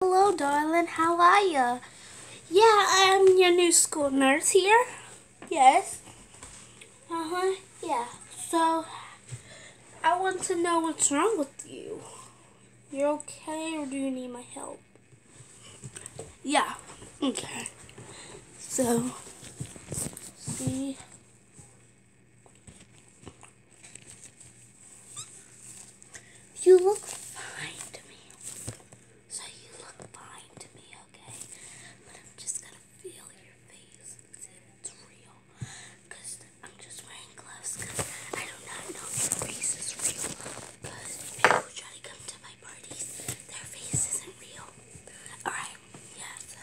Hello, darling. How are you? Yeah, I'm your new school nurse here. Yes. Uh-huh. Yeah. So, I want to know what's wrong with you. You're okay or do you need my help? Yeah. Okay. So, see. You look fine to me. So you look fine to me, okay? But I'm just gonna feel your face and see if it's real. Cause I'm just wearing gloves because I do not know if your face is real. Because people try to come to my parties, their face isn't real. Alright, yeah, so.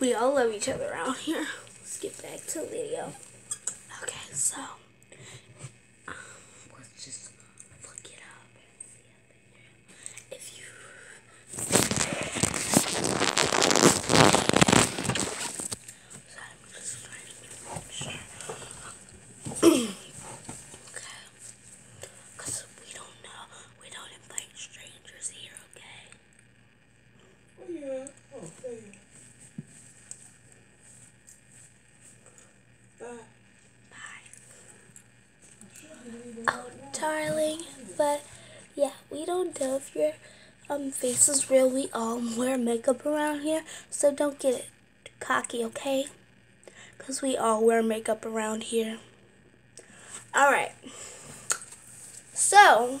We all love each other out here. Let's get back to video. Okay, so um, let's just look it up and see up If you Sorry, I'm just trying to okay. Cause we don't know. We don't invite strangers here, okay? Where you at? Oh, there you are. Bye. Bye. Oh, darling, but yeah, we don't know if your um, face is real. We all wear makeup around here, so don't get cocky, okay? Because we all wear makeup around here. Alright. So,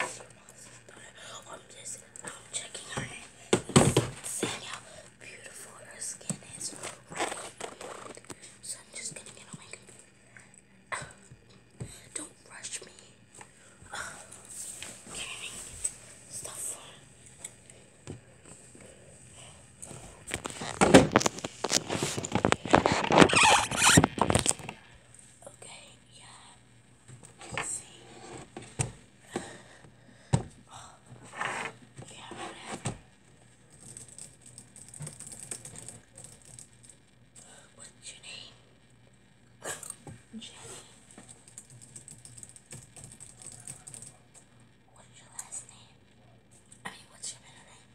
I'm just I'm checking her and seeing how beautiful her skin is So I'm just gonna get on my Don't rush me. Okay, yeah, see. yeah, What's your name? Jenny. What's your last name? I mean, what's your middle name?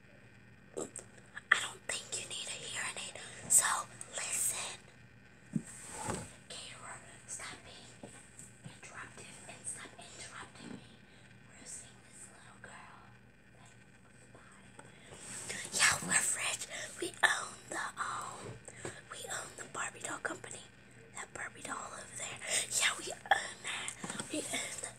I don't think you need a hearing aid, so listen. Caterer, stop being interruptive and stop interrupting me. We're seeing this little girl. Yeah, we're rich. We own the um, we own the Barbie doll company. That Barbie doll over there. Yeah, we own that. We own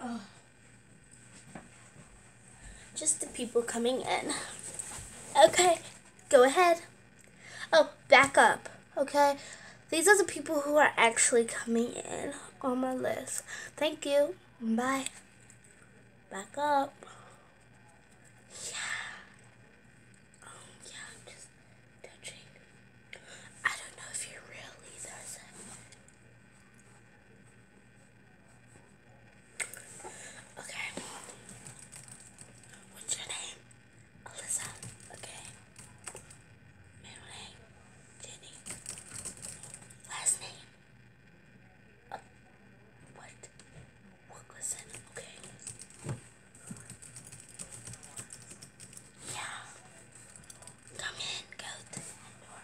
Oh. Just the people coming in. Okay, go ahead. Oh, back up okay? These are the people who are actually coming in on my list. Thank you. Bye. Back up. Yeah. Oh, yeah, I'm just touching. I don't know if you're real Okay. What's your name? Alyssa, okay. Middle name, Jenny. Last name, uh, what? Wilkerson, okay. Yeah. Come in, go to the door.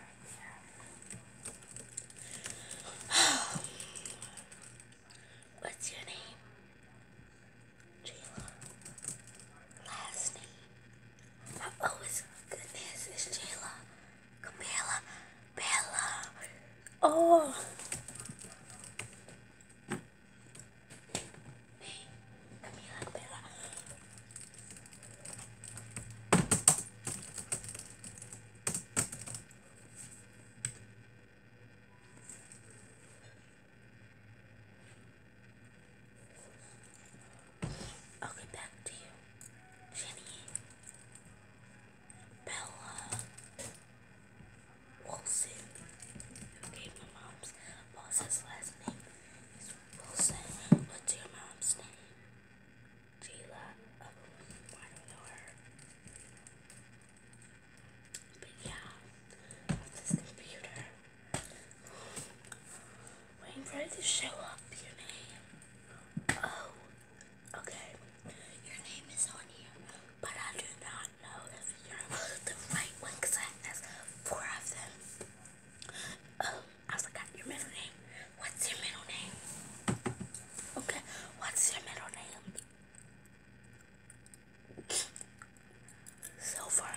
Oh. What's your name? Jayla. Last name. Oh, oh goodness, it's Jayla. Camilla. Bella. Oh. I'll get back to you. Jenny, Bella, Wilson, who my mom's boss's last name is Wilson. What's your mom's name? Jayla. Oh, I don't know her. But yeah, this computer. Waiting for it to show up your name. Oh, okay. Your name is on here, but I do not know if you're the right one because I have four of them. Oh, I forgot your middle name. What's your middle name? Okay, what's your middle name? So far,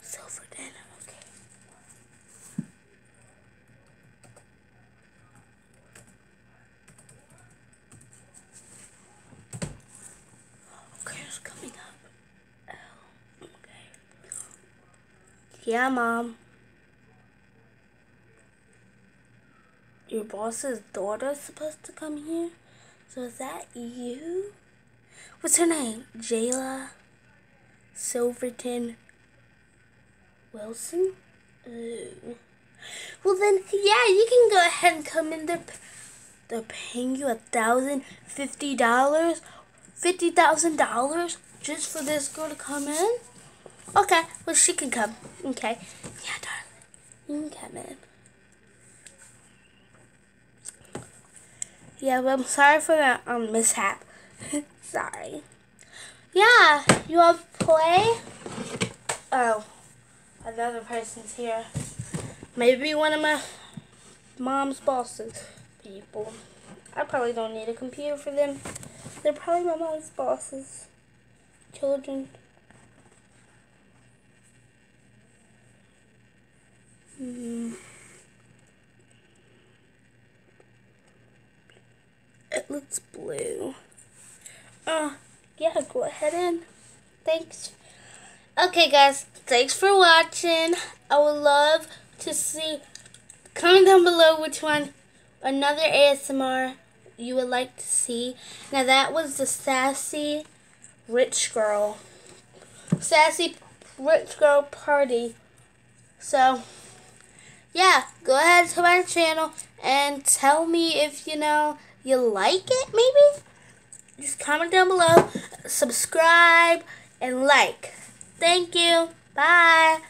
Silver. Silver denim, okay. Okay, it's coming up. Oh, okay. Yeah, Mom. Your boss's daughter's supposed to come here? So is that you? What's her name? Jayla Silverton Wilson? Ooh. Well then, yeah, you can go ahead and come in. They're, they're paying you a thousand fifty dollars, fifty thousand dollars just for this girl to come in. Okay, well she can come. Okay, yeah, darling, you can come in. Yeah, but I'm sorry for that um, mishap. sorry. Yeah, you want to play? Oh, another person's here. Maybe one of my mom's bosses people. I probably don't need a computer for them. They're probably my mom's bosses. Children. Mm. It looks blue. Oh, yeah, go ahead and Thanks. Okay, guys, thanks for watching. I would love to see, comment down below which one, another ASMR you would like to see. Now that was the sassy rich girl. Sassy rich girl party. So yeah, go ahead to my channel and tell me if you know you like it maybe. Just comment down below, subscribe and like. Thank you. Bye.